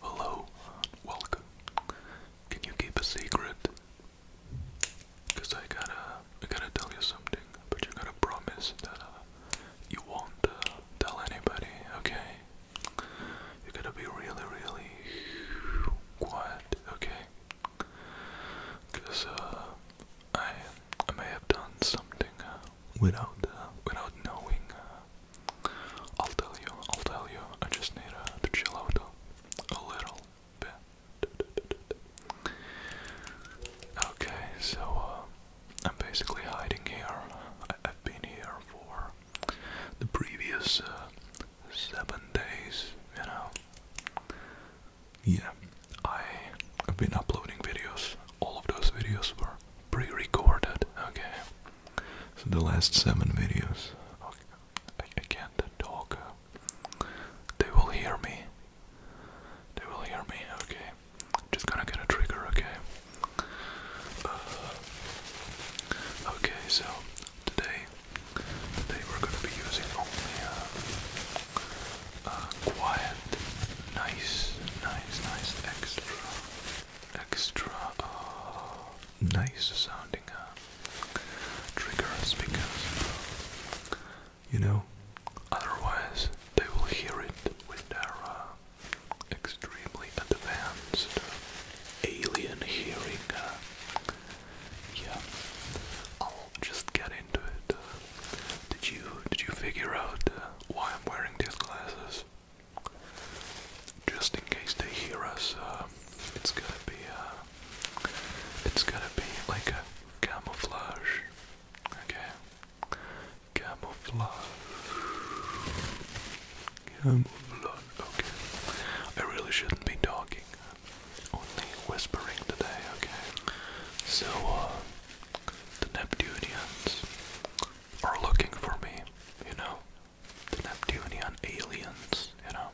Hello, welcome. Can you keep a secret? Cause I gotta, I gotta tell you something, but you gotta promise that uh, you won't uh, tell anybody, okay? You gotta be really, really quiet, okay? Cause uh, I, I may have done something uh, without, uh, without knowing. Uh, I'll tell you, I'll tell you, I just need uh, to chill out a, little bit. Okay, so uh, I'm basically hiding here. I I've been here for the previous uh, seven days, you know. Yeah, I've been uploading videos. All of those videos were pre-recorded. Okay, so the last seven videos, okay, I, can't talk. They will hear me. They will hear me. Okay, I'm just gonna get a trigger. Okay. Uh, okay, so today, today we gonna be using only uh, uh, quiet, nice, nice, nice extra extra uh, nice sounding uh, triggers because you know otherwise they will hear it with their uh, extremely advanced alien hearing. yeah, I'll just get into it. did you did you figure out why I'm wearing these glasses? Just in case they hear us, uh, it's gonna be uh, it's gonna be like a camouflage. Okay, camouflage, camouflage. Okay, I really shouldn't be talking, only whispering today. Okay, so uh, the Neptunians are looking for me, you know? The Neptunian aliens, you know?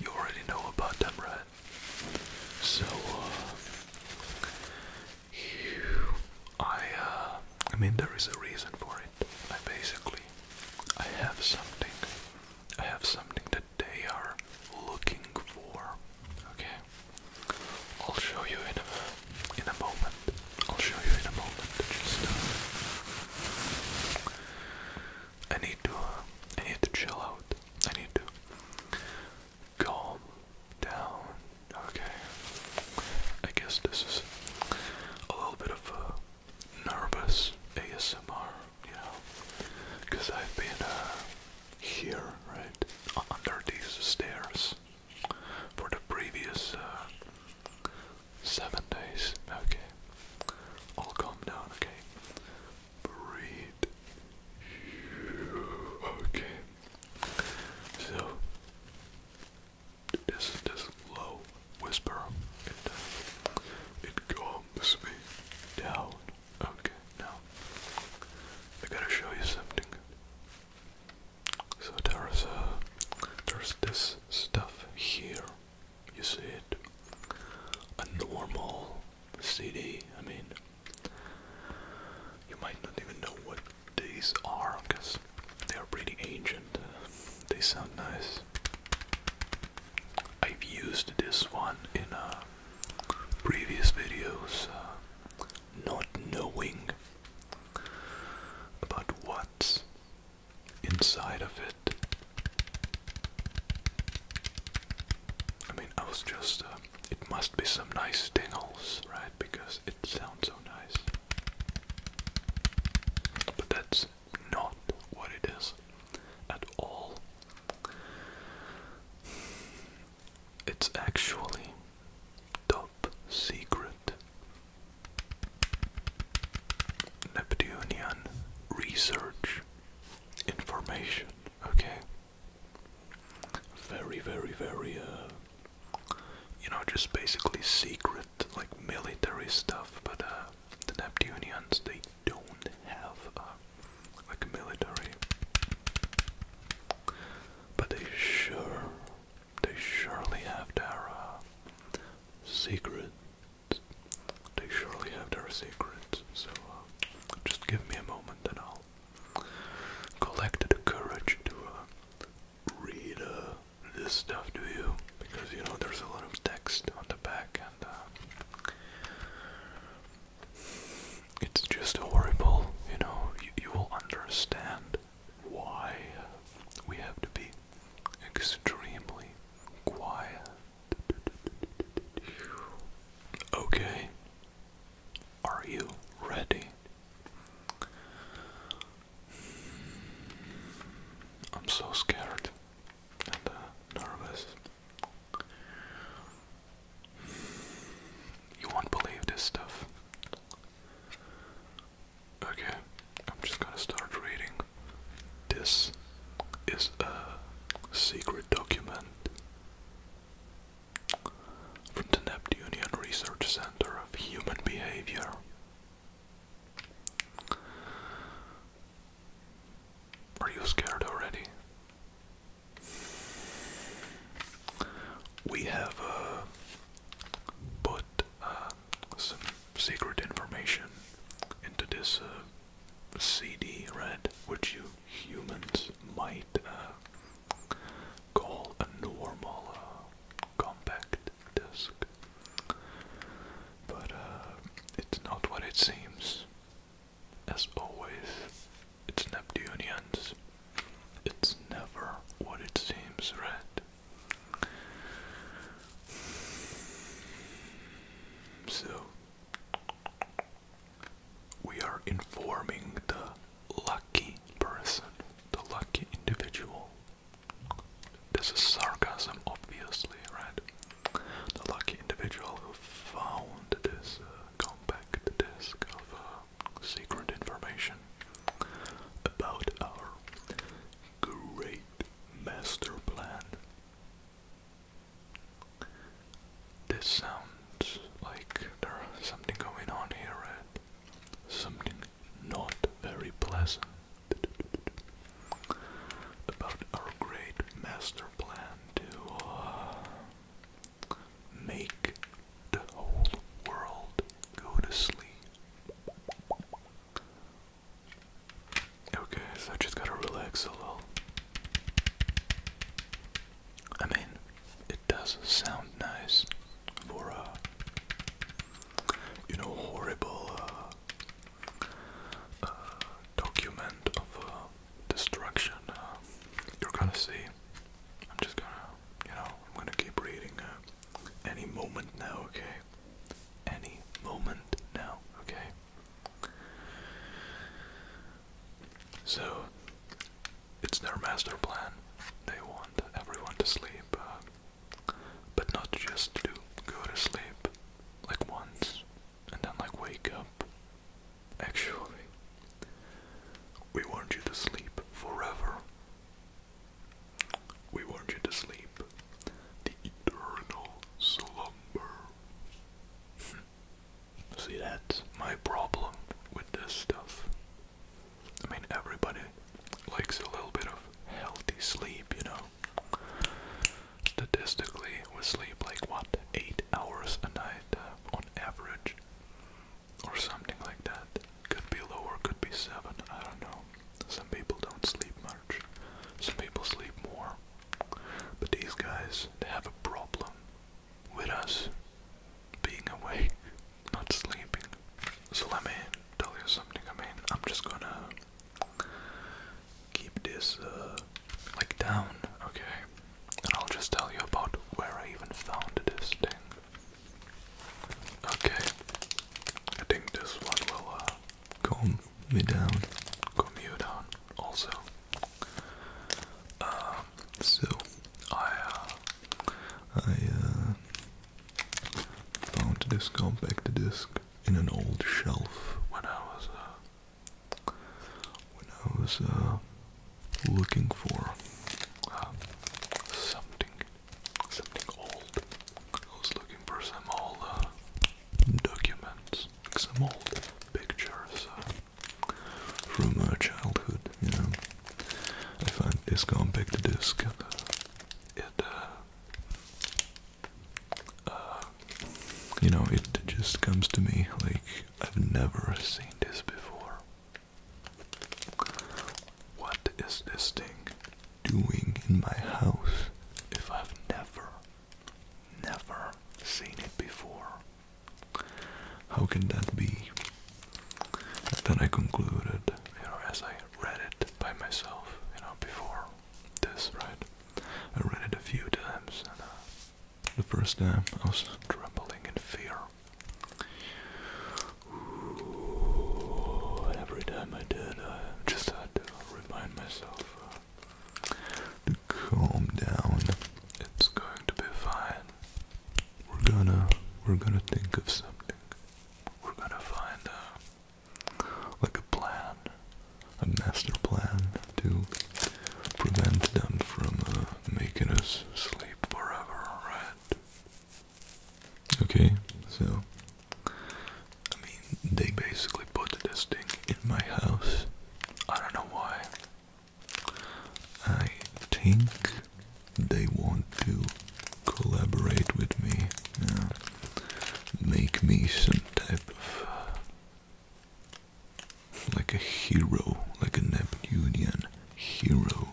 You already know about them, right? So, uh, I, uh, I mean, there is a reason for it. I basically, I have something, I have something that they are looking for, okay? I'll show you in a in a moment. I'll show you in a moment. Just uh, I need to uh, I need to chill out. I need to calm down. Okay. I guess this is a little bit of a nervous ASMR, you know, because I've been uh, here, right, under these stairs for the previous uh, seven days. Okay. All calm down, okay? Breathe. Okay. So, this this low whisper, it uh, calms me down. Okay, now I gotta show you something. So there's a there's this stuff here. You see it? A normal CD. I mean, you might not even know what these are because they are pretty ancient. They sound nice. I've used this one in uh, previous videos. Uh, not knowing about what's inside of it. I mean, I was just, uh, it must be some nice tingles, right? Because it sounds so nice. But that's not what it is at all. It's actually top secret. Neptunian research information. Okay. Very, very, very, uh, you know, just basically secret, like military stuff, but uh, the Neptunians, they don't have. Uh, like military. But they sure, they surely have their uh, secrets. They surely have their secrets. So uh, just give me a moment, and I'll collect the courage to uh, read uh, this stuff to you, because you know there's a lot of text on the back and. Uh, it's just horrible, you know. You, will understand why we have to be extremely quiet. Okay. Are you ready? I'm so scared and uh, nervous. You won't believe this stuff. Okay, I'm just gonna start reading. This is a secret document from the Neptune Research Center of Human Behavior. Are you scared already? We have uh, put uh, some secret information into this uh, CD, right? Which you humans might call a normal compact disc, but it's not what it seems. As always, it's Neptunians. It's never what it seems, right? So, we are informing the lucky person, the lucky individual. This is sarcasm, obviously, right? The lucky individual who found this uh, compact disk of uh, secret information about our great master plan. This sounds like there's something going on here, Ed. Something not very pleasant about our great master plan uh, Make the whole world go to sleep. Okay, so I just gotta relax a little. I mean, it does sound nice for a, uh, you know, horrible uh, uh, document of destruction uh, you're gonna see. I'm just gonna, you know, I'm gonna keep reading uh, any moment now, okay? Any moment now, okay? So, it's their master plan. They want everyone to sleep, uh, but not just to go to sleep like once, and then like wake up. Actually, we want you to sleep forever. We want you to sleep the eternal slumber. See, that my problem with this stuff. I mean, everybody likes a little bit of healthy sleep, you know statistically we sleep like what eight hours a night uh, on average or something like that could be lower could be seven i don't know some people don't sleep much some people sleep more but these guys they have a problem with us being awake not sleeping so let me tell you something i mean i'm just gonna keep this uh, like down, okay? And I'll just tell you about where I even found this thing. Okay, I think this one will uh, calm me down, calm you down also. Um, so I uh, I found this compact disc in an old shelf when I was when I was uh, looking for uh, something, something old. I was looking for some old uh, documents, some old pictures from my childhood. You know, I find this compact disc. And, uh, it uh, you know, it just comes to me like I've never seen this before. What is this thing doing in my house if I've never, never seen it before? How can that be? then I concluded, you know, as I read it by myself, you know, before this, right? I read it a few times, and uh, the first time I was trembling in fear. every time I did, I just had to remind myself uh, to calm down. It's going to be fine. We're gonna, we're gonna think of something. We're gonna find a like a plan, a master plan to prevent them from uh, making us sleep forever, right? Okay, so I mean, they basically put this thing in my house. I don't know why. I think they want to collaborate with me make me some type of like a hero, like a Neptunian hero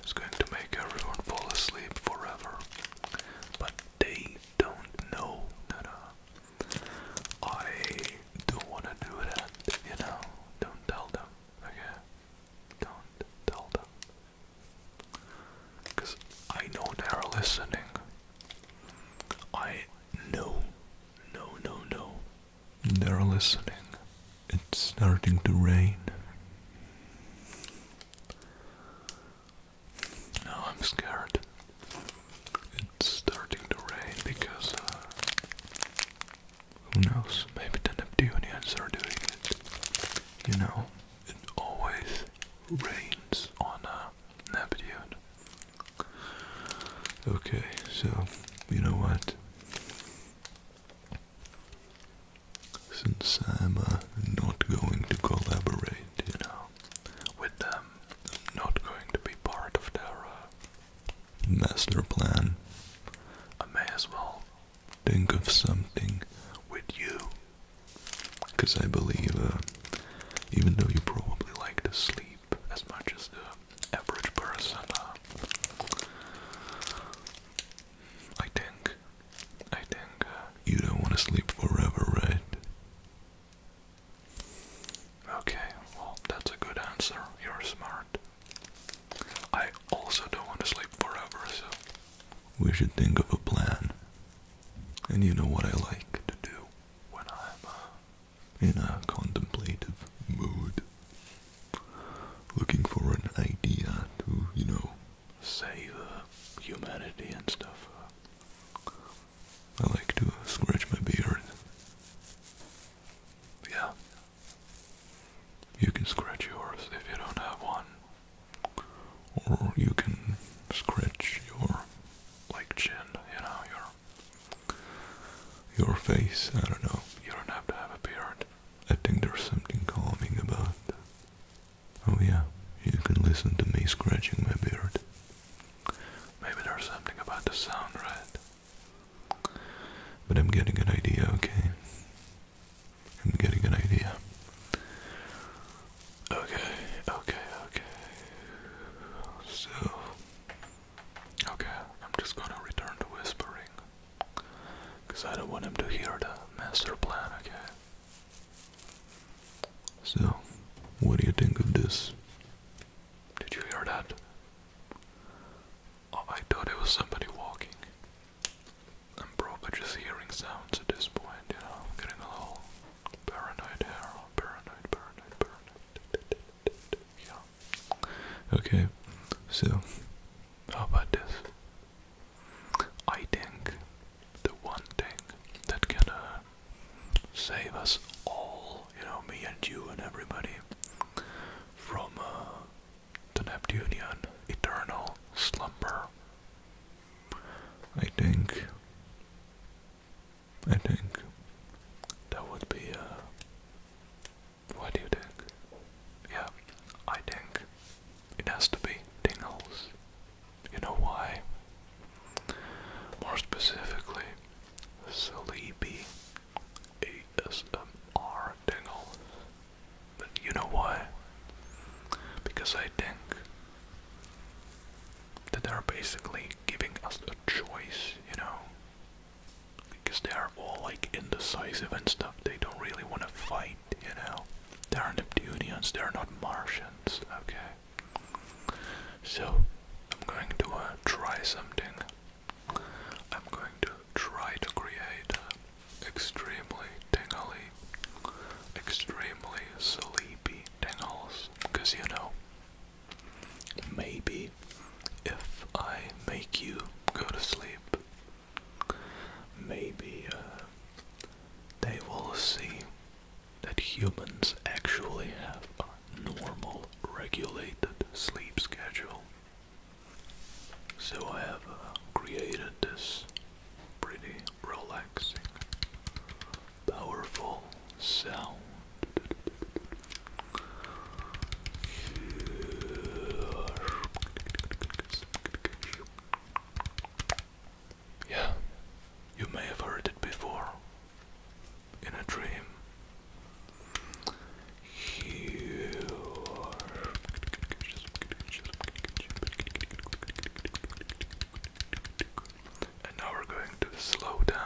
who's going to make everyone fall asleep forever. But they don't know that I don't want to do that, you know? Don't tell them, okay? Don't tell them. Because I know they are listening. I know, no, no, no. They're listening. It's starting to rain. No, I'm scared. It's starting to rain because uh, who knows? Maybe the Neptunians are doing it. You know, it always rains on uh, Neptune. Okay, so you know what? Since I'm uh, not going to collaborate, you know, with them, I'm not going to be part of their uh, master plan. I may as well think of something with you because I believe, uh, even though you probably like to sleep as much as the average person, uh, I think, I think uh, you don't want to sleep forever, right? Okay, well, that's a good answer. You're smart. I also don't want to sleep forever, so we should think of a plan. And you know what I like to do when I'm uh, in a contemplative mood, looking for an idea to, you know, save humanity and stuff. I like to uh, scratch my beard. Yeah. You can scratch yours if you don't have one or you can scratch your like chin, you know, your your face. I don't know. You don't have to have a beard. I think there's something calming about. Oh yeah, you can listen to me scratching my beard. Maybe there's something about the sound, right? But I'm getting an idea, okay? I'm getting an idea. Okay, okay, okay. So, okay, I'm just gonna return to whispering. Because I don't want him to hear the master plan, okay? So, what do you think of this? Did you hear that? Oh, I thought it was somebody walking. I'm probably just hearing sounds at this point, you know, I'm getting a little paranoid here, paranoid, paranoid, paranoid, yeah. Okay, so, how about this? I think the one thing that can uh, save us all, you know, me and you and everybody, from uh, the Neptunian eternal slumber. I think, I think that would be, uh, what do you think? Yeah, I think it has to be tingles. You know why? More specifically, sleepy ASMR tingles. But you know why? Because I think that they are basically giving us a choice, you know? Because they are all like indecisive and stuff. They don't really want to fight, you know? They are Neptunians, they are not Martians, okay? So, I'm going to uh, try something. I'm going to try to create extremely tingly, extremely sleepy tingles, because you know, maybe if I make you go to sleep, maybe uh, they will see that humans actually have a normal, regulated sleep schedule. So I have uh, created this pretty relaxing, powerful sound. Yeah, you may have heard it before in a dream here. And now we're going to slow down.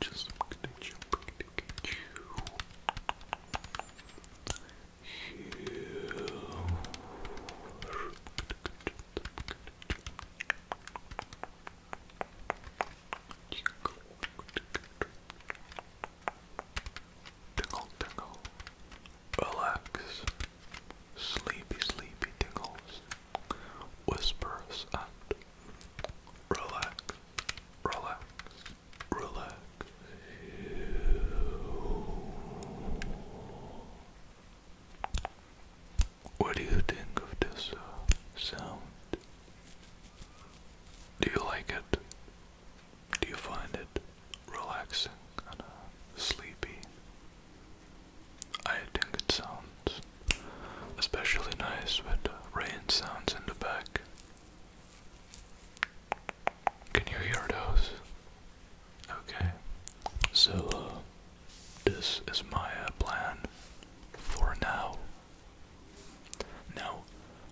Just to get you. Here. Tingle, tingle. Relax. Sleepy, sleepy tingles. Whispers and relax, relax, relax. What do you think of this uh, sound? Do you like it? Do you find it relaxing and sleepy? I think it sounds especially nice with rain sounds in the back. Can you hear those? Okay, so uh, this is my plan for now. Now,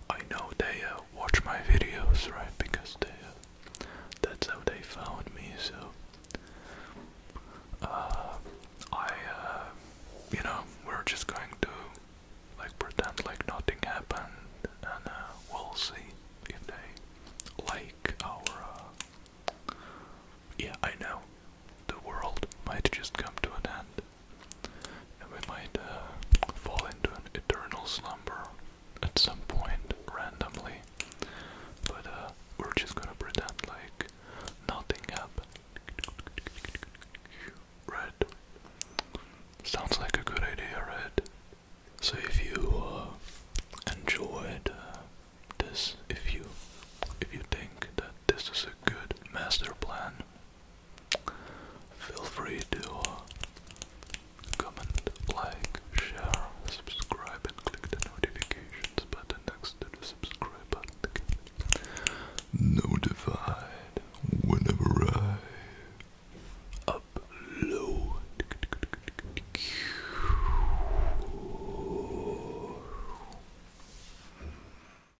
I know they uh, watch my videos, right? Because uh, that's how they found me. So, uh, I, you know, we're just going to like pretend like nothing happened, and we'll see if they like our. yeah, I know. The world might just come to an end we might uh, fall into an eternal slumber at some point randomly. But uh, we're just gonna pretend like nothing happened. Red. Sounds like a good idea, Red. So if you uh, enjoyed uh, this, if you if you think that this is a good master plan Feel free to uh, comment, like, share, subscribe, and click the notifications button next to the subscribe button. To get whenever I upload.